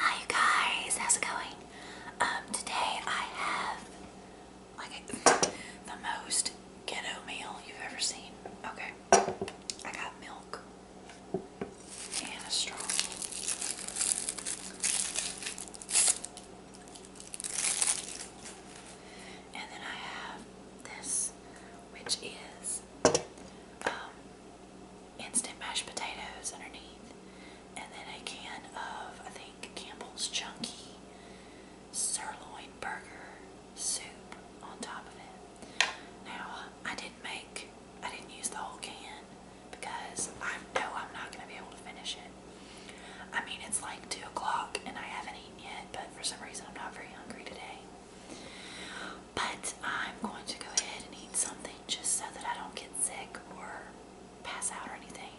Hi guys, how's it going? Um, today I have like the most ghetto meal you've ever seen. Okay, I got milk and a straw. And then I have this, which is um, instant mashed potatoes underneath, and then a can of, I think, Campbell's Chunky Sirloin Burger Soup on top of it. Now, I didn't make, I didn't use the whole can because I know I'm not going to be able to finish it. I mean, it's like 2 o'clock and I haven't yet, but for some reason I'm not very hungry today. But I'm going to go ahead and eat something just so that I don't get sick or pass out or anything.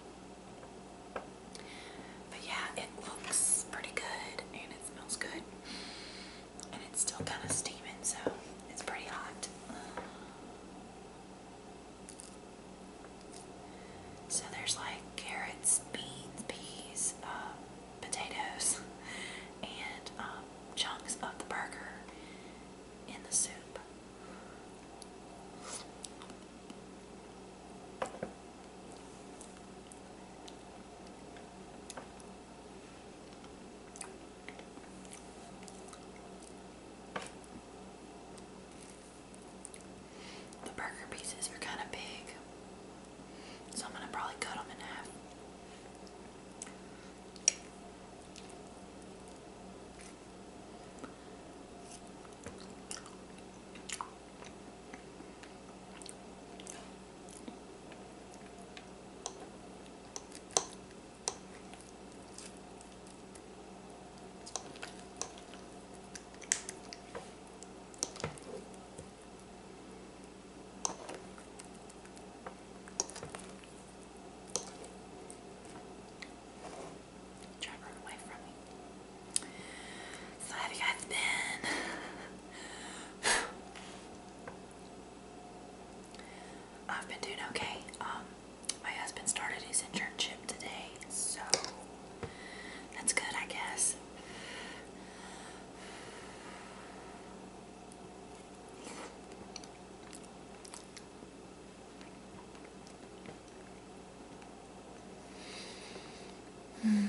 But yeah, it looks pretty good and it smells good. And it's still kind of steaming, so it's pretty hot. So there's like carrots, beans, peas, uh, potatoes, and um, chunks of the burger in the soup. The burger pieces are kind of big, so I'm going to probably cut them in half. Try to away from me. So have you guys been? I've been doing okay. Um, my husband started his internship today, so that's good, I guess. Hmm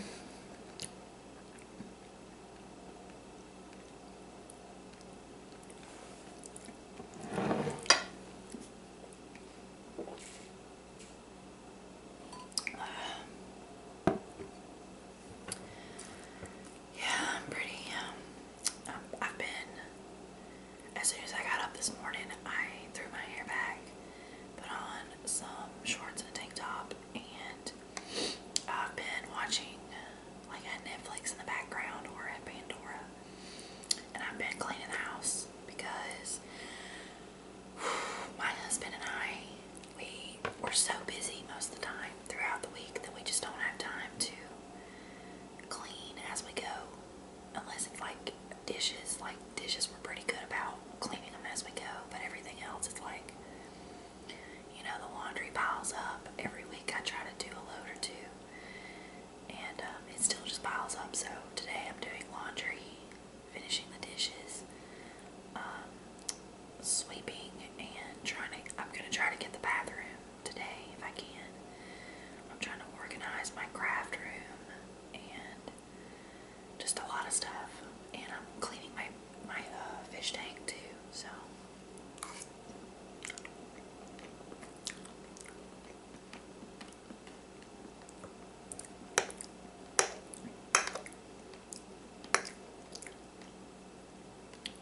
yeah, I'm pretty. Um, I've been. As soon as I got up this morning, I threw my hair back, put on some shorts and a tank top, and I've been watching like Netflix in the background or at Pandora. And I've been cleaning the house because my husband and I, we were so busy most of the time throughout the week that we just don't have time to clean as we go. Unless it's like dishes, like dishes we're pretty good about cleaning them as we go, but everything else it's like, you know, the laundry piles up. Every week I try to do a load or two and um, it still just piles up. So today I'm doing laundry, finishing the dishes, um, sweeping, and trying to. I'm gonna try to get the bathroom today if I can. I'm trying to organize my craft room and just a lot of stuff. And I'm cleaning my my uh, fish tank too. So.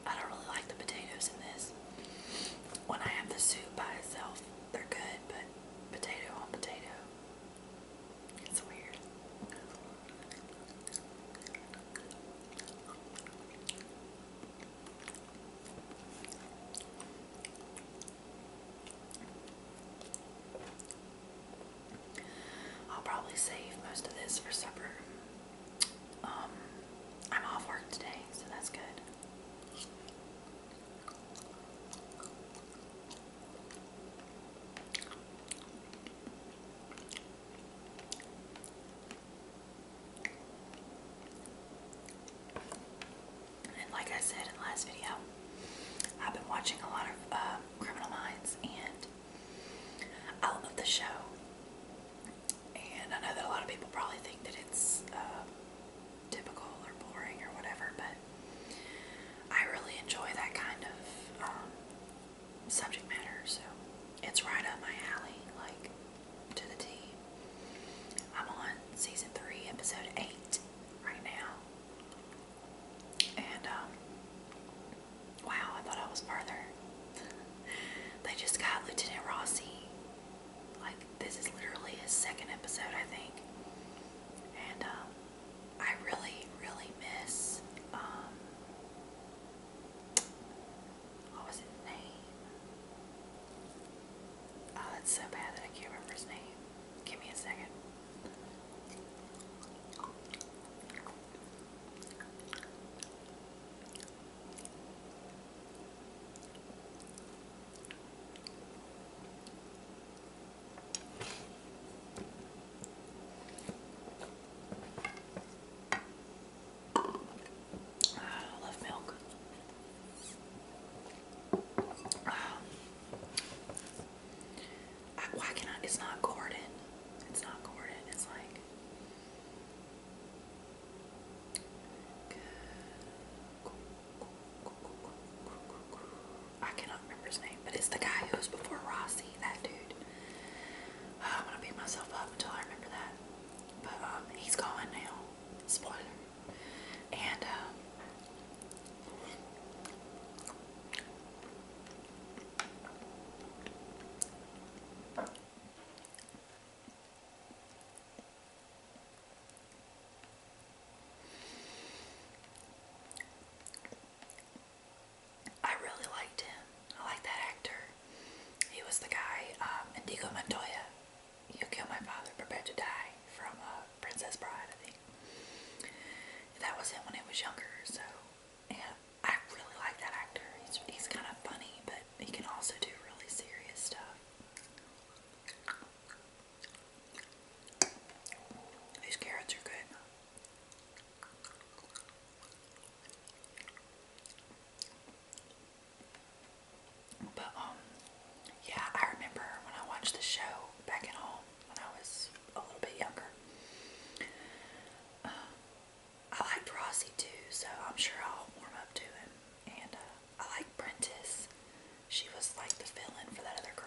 I don't really like the potatoes in this. When I have the soup by itself, they're good, but potato on potato, it's weird. I'll probably save most of this for supper. Um, I'm off work today, so that's good. And like I said in the last video, I've been watching a lot of uh, Criminal Minds and I love the show. And I know that a lot of people probably think that it's uh, typical or boring or whatever, but I really enjoy that kind of um, subject matter. So it's right up my alley. Like to the T. I'm on season three, episode eight right now. And um, wow, I thought I was further. they just got Lieutenant Rossi. Like this is literally his second episode, I think. And um, I really, really miss um, what was his name? Oh, that's so bad that I can't remember his name. Give me a second. I love milk. why can It's not Gordon. It's not Gordon. It's like. I cannot remember his name, but it's the guy who before Rossi, that dude. Oh, I'm gonna beat myself up until I remember that. But um, he's gone now spoiler. And um, I really liked him. I like that actor. He was the guy, um, Indigo Montoya you kill my father, prepare to die from a uh, Princess Bride, I think. That was him when he was younger, so and I really like that actor. He's he's kind of funny, but he can also do really serious stuff. These carrots are good. But um, yeah, I remember when I watched the show back at home when I was a little bit younger. Uh, I liked Rossi too, so I'm sure I'll warm up to him. And uh, I like Prentice. She was like the villain for that other girl.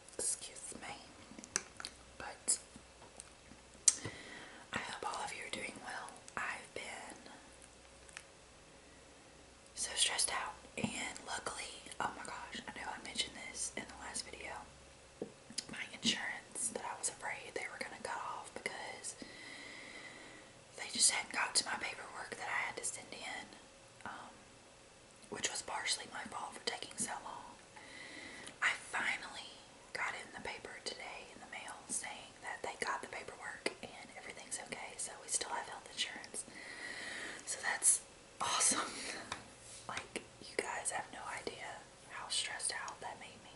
Excuse me. But I hope all of you are doing well. I've been so stressed out, and luckily, oh my gosh, I know I mentioned this in the last video. My insurance that I was afraid they were going to cut off because they just hadn't got to my paperwork that I had to send in. Um, which was partially my fault for taking so long. I finally got in the paper today in the mail saying that they got the paperwork and everything's okay, so we still have health insurance. So that's awesome. like, you guys have no idea how stressed out that made me.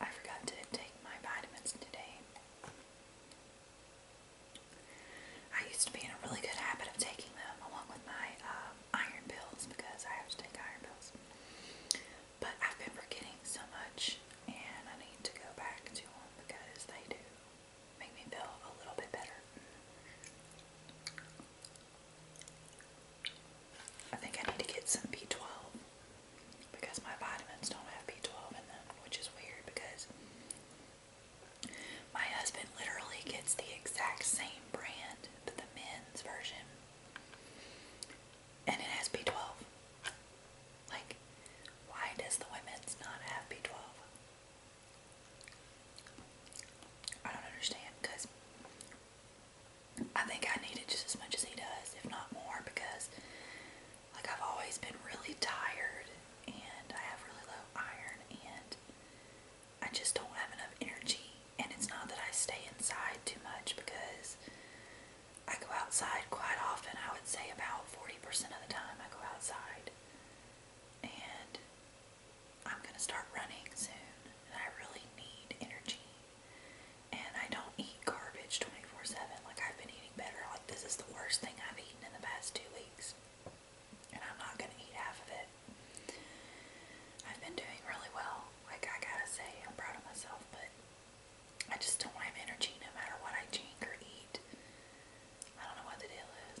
I forgot to take my vitamins today. I used to be in a really good habit of taking them along with my um, iron pills because I have to take iron pills. But I've been forgetting so much and I need to go back to them because they do make me feel a little bit better. I think I need to get some B12 because my vitamins don't have B12 in them, which is weird because my husband literally gets the exact same brand, but the men's version, and it has B12. Like, why does the women's not have B12? I don't understand because I think I need it just as much as he does, if not more, because like I've always been really tired and I have really low iron and I just don't have enough energy. And it's not that I stay inside too much because I go outside quite often. I would say about 40% of the time I go outside. And I'm going to start running soon. And I really need energy. And I don't eat garbage 24-7 like I've been eating better. Like this is the worst thing I've eaten in the past two weeks. And I'm not going to eat half of it. I've been doing really well. Like I gotta say, I'm proud of myself, but I just don't have energy no matter what I drink or eat. I don't know what the deal is.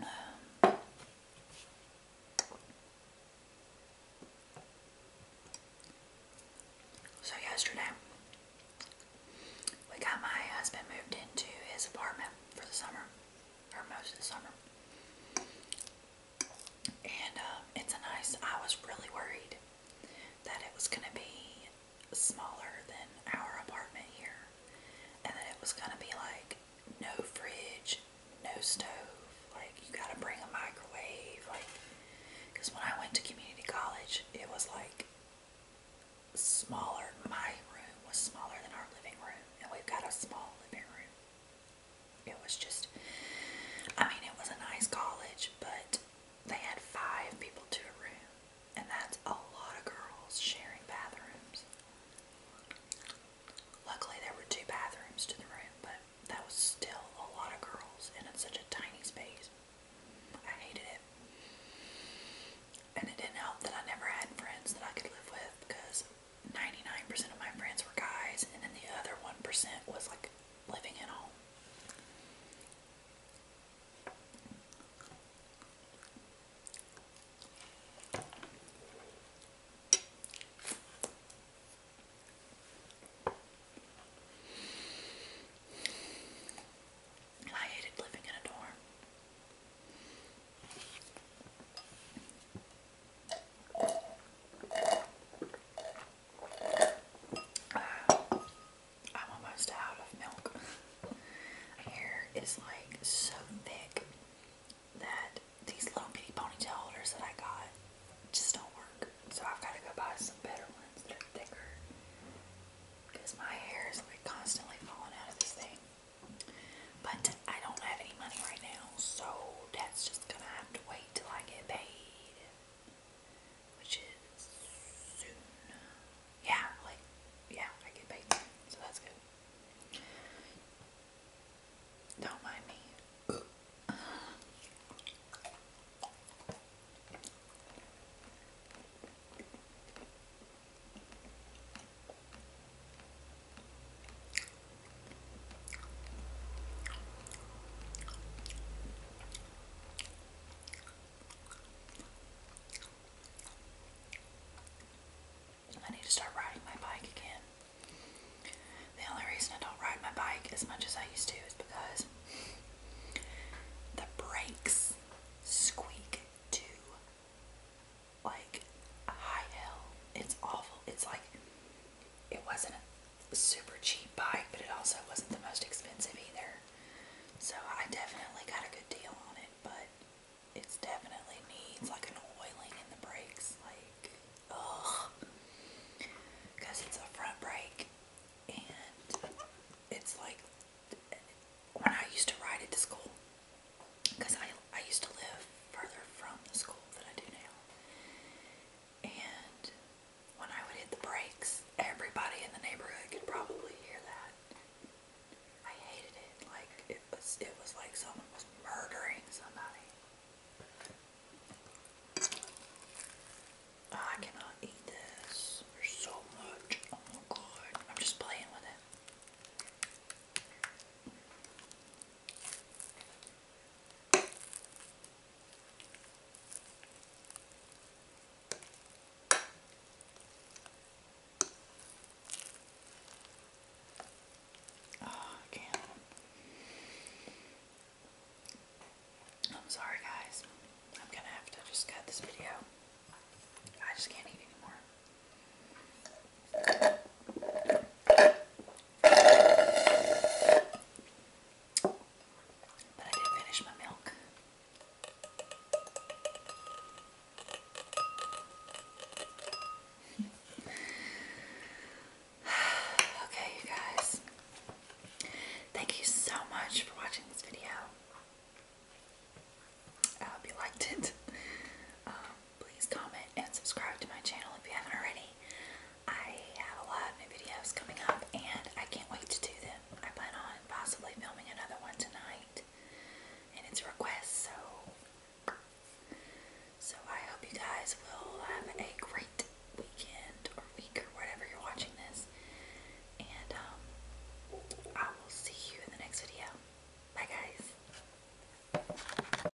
Um, so yesterday, we got my husband moved into his apartment for the summer, or most of the summer. And um, it's a nice, I was really worried that it was going to be smaller than our apartment here and then it was gonna be like no fridge, no stove, like you gotta bring a microwave, like because when I went to community college, it was like smaller. My room was smaller than our living room, and we've got a small living room. It was just, I mean, it was a nice college, but they had five people to a room. And that's a lot of girls sharing bathrooms. Luckily, there were two bathrooms to the room, but that was still a lot of girls, and it's such a tiny space. I hated it. And it didn't help that I never had friends that I could live with because 99% of my friends were guys, and then the other 1% was like living at home. And I hated living in a dorm. I'm almost out of milk. Hair is like so thick that these little bitty ponytail holders that I got just don't work. So I've got to go buy some better ones that are thicker because my hair is like constantly falling out of this thing. But I don't have any money right now, so that's just gonna have to wait till I get paid, which is soon yeah, like, yeah, I get paid, so that's good. Don't mind me. I need to start riding my bike again. The only reason I don't ride my bike as much as I used to is because the brakes squeak too, like high hell. It's awful. It's like it wasn't a super cheap bike, but it also wasn't the most expensive either. So I definitely got a good deal on it, but it definitely needs like an oiling in the brakes, like ugh, because it's a front brake, and it's like when I used to ride it to school, because I I used to live further from the school than I do now, and when I would hit the brakes, everybody in the neighborhood could probably hear that. I hated it. Like it was, it was like someone was murdering somebody. I cannot eat this. There's so much. Oh my god! I'm just playing with it. Oh, I can't. I'm sorry, guys. I'm gonna have to just cut this video. I just can't eat anymore. But I did finish my milk. okay, you guys. Thank you so much for watching this video. I hope you liked it. Um, please comment and subscribe to my channel if you haven't already. I have a lot of new videos coming up and I can't wait to do them. I plan on possibly filming another one tonight, and it's a request, so so I hope you guys will have a great weekend or week or whatever you're watching this, and um, I will see you in the next video. Bye, guys.